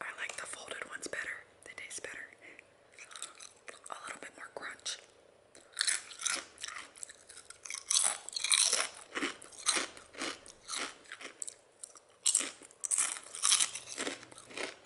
I like the folded ones better. They taste better. A little bit more crunch.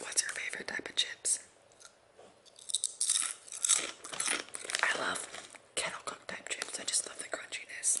What's your favorite type of chips? I love kettle cooked type chips. I just love the crunchiness.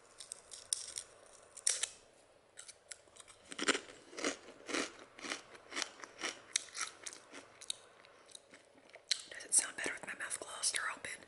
Does it sound better with my mouth closed or open?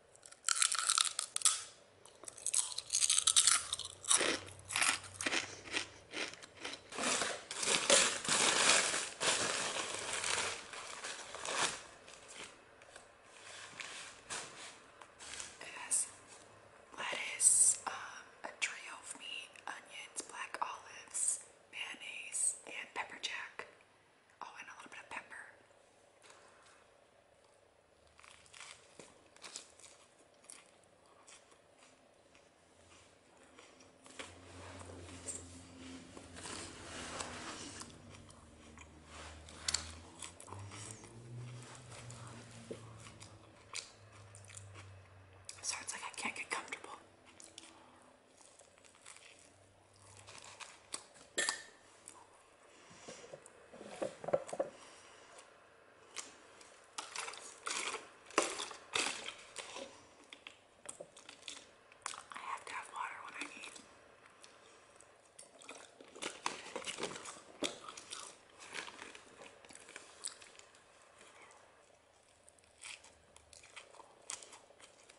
It has lettuce, um, a trio of meat, onions, black olives, mayonnaise, and pepper jack. Oh, and a little bit of pepper. So it's like I can't get comfortable. I have to have water when I eat.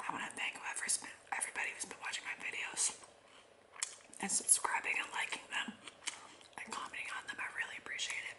I want to thank whoever spent, everybody who's been watching my videos and subscribing and liking them and commenting on them. I really appreciate it.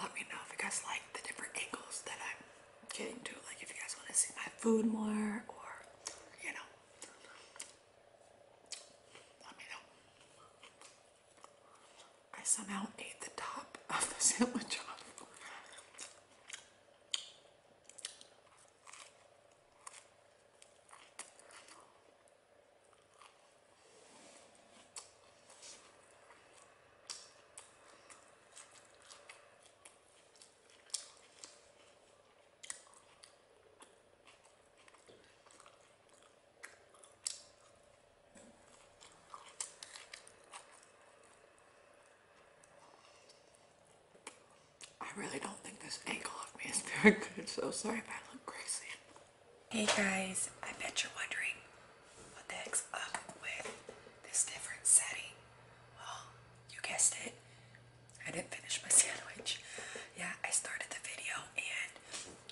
let me know if you guys like the different angles that I'm getting to. Like if you guys want to see my food more or, you know, let me know. I somehow ate the top of the sandwich I really don't think this angle of me is very good, so sorry if I look crazy. Hey guys, I bet you're wondering what the heck's up with this different setting. Well, you guessed it. I didn't finish my sandwich. Yeah, I started the video and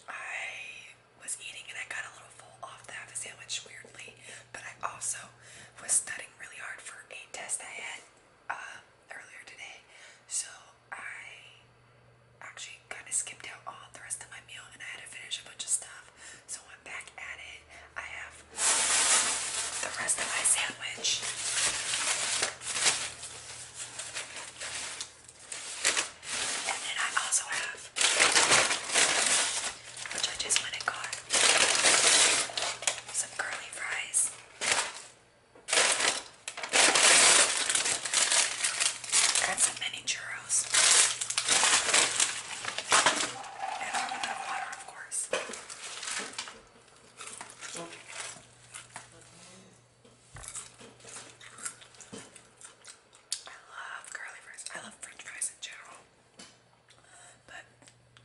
I was eating and I got a little full off the half a sandwich weirdly, but I also was studying really hard for a test I had uh, earlier today. So I actually kind of skipped out all the rest of my meal and I had to finish a bunch of stuff. So I'm back at it. I have the rest of my sandwich. And then I also have, which I just went and got, some curly fries. That's a mini churros. I love curly fries. I love french fries in general. But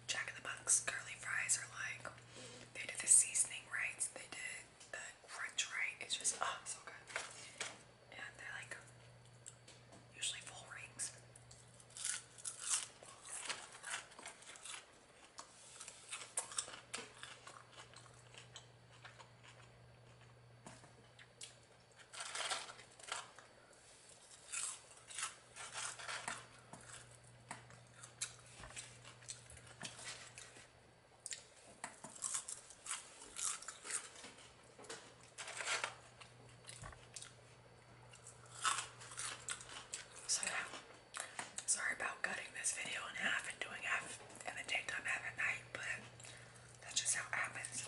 Jack in the Box curly fries are like, they did the seasoning right, they did the crunch right. It's just, oh, so good and they're like usually full rings. So now, sorry about cutting this video in half and doing half in the daytime, half at night, but that's just how it happens.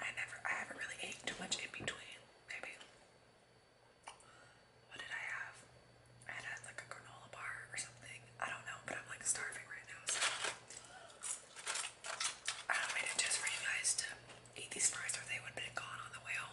I never, I haven't really eaten too much in between. Maybe what did I have? I had like a granola bar or something, I don't know, but I'm like starving right now, so I don't made just for you guys to eat these fries or they would have been gone on the way home.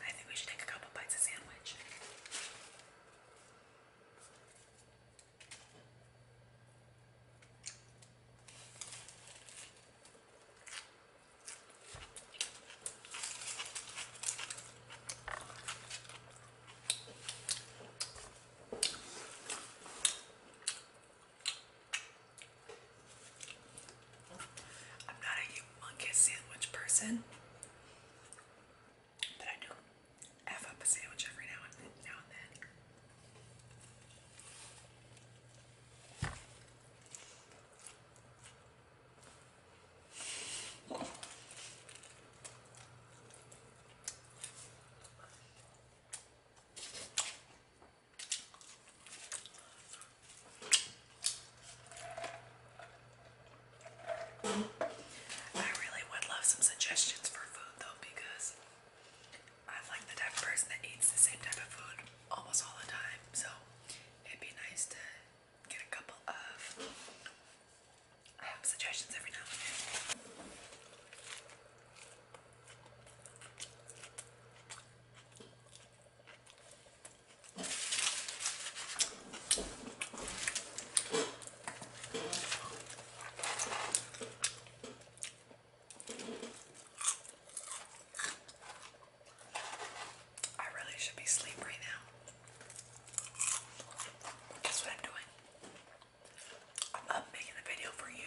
I think we should take a couple bites of sandwich. I'm not a humongous sandwich person, but I do F up a sandwich every now and then. I really would love some suggestions for food though because I'm like the type of person that eats the same type of food almost all the time. So it'd be nice to get a couple of suggestions every now and then. I really should be asleep now. Guess what I'm doing? I'm making a video for you.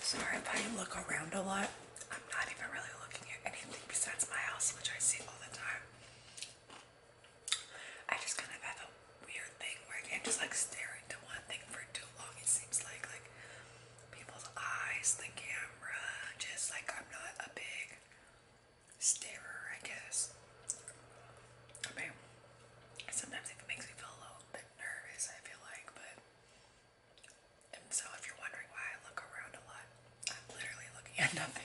Sorry I look around a lot. I'm not even really looking at anything besides my house, which I see all the time. I just kind of have a weird thing where I can't just like stare into one thing for too long. It seems like like people's eyes, the camera, just like I'm not a big starer, I guess. I sometimes it makes me feel a little bit nervous, I feel like, but. And so, if you're wondering why I look around a lot, I'm literally looking at nothing.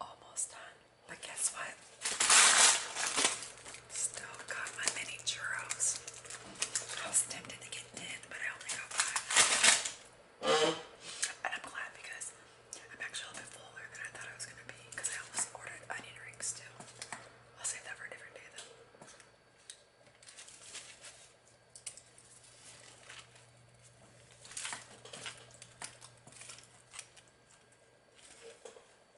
Almost done, but guess what? Still got my mini churros. I was tempted to get 10, but I only got 5. And I'm glad because I'm actually a bit fuller than I thought I was going to be because I almost ordered onion rings too. I'll save that for a different day though.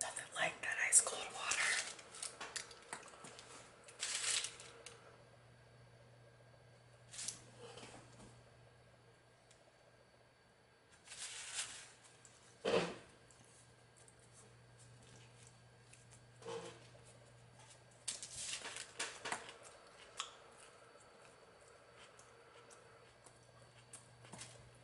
Nothing like that ice cold water.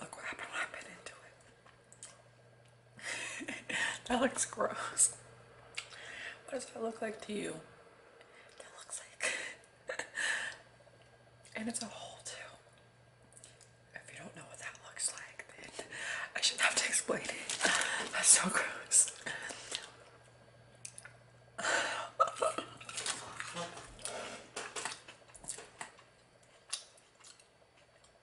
Look what happened when I bit into it. that looks gross. What does that look like to you? That looks like. and it's a hole too. If you don't know what that looks like, then I should have to explain it. That's so gross.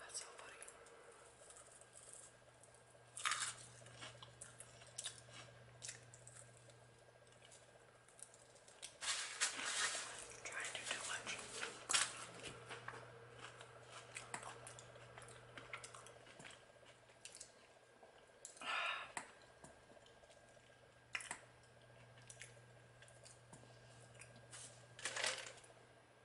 That's so funny. I'm trying to do too much.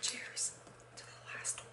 Cheers to the last one.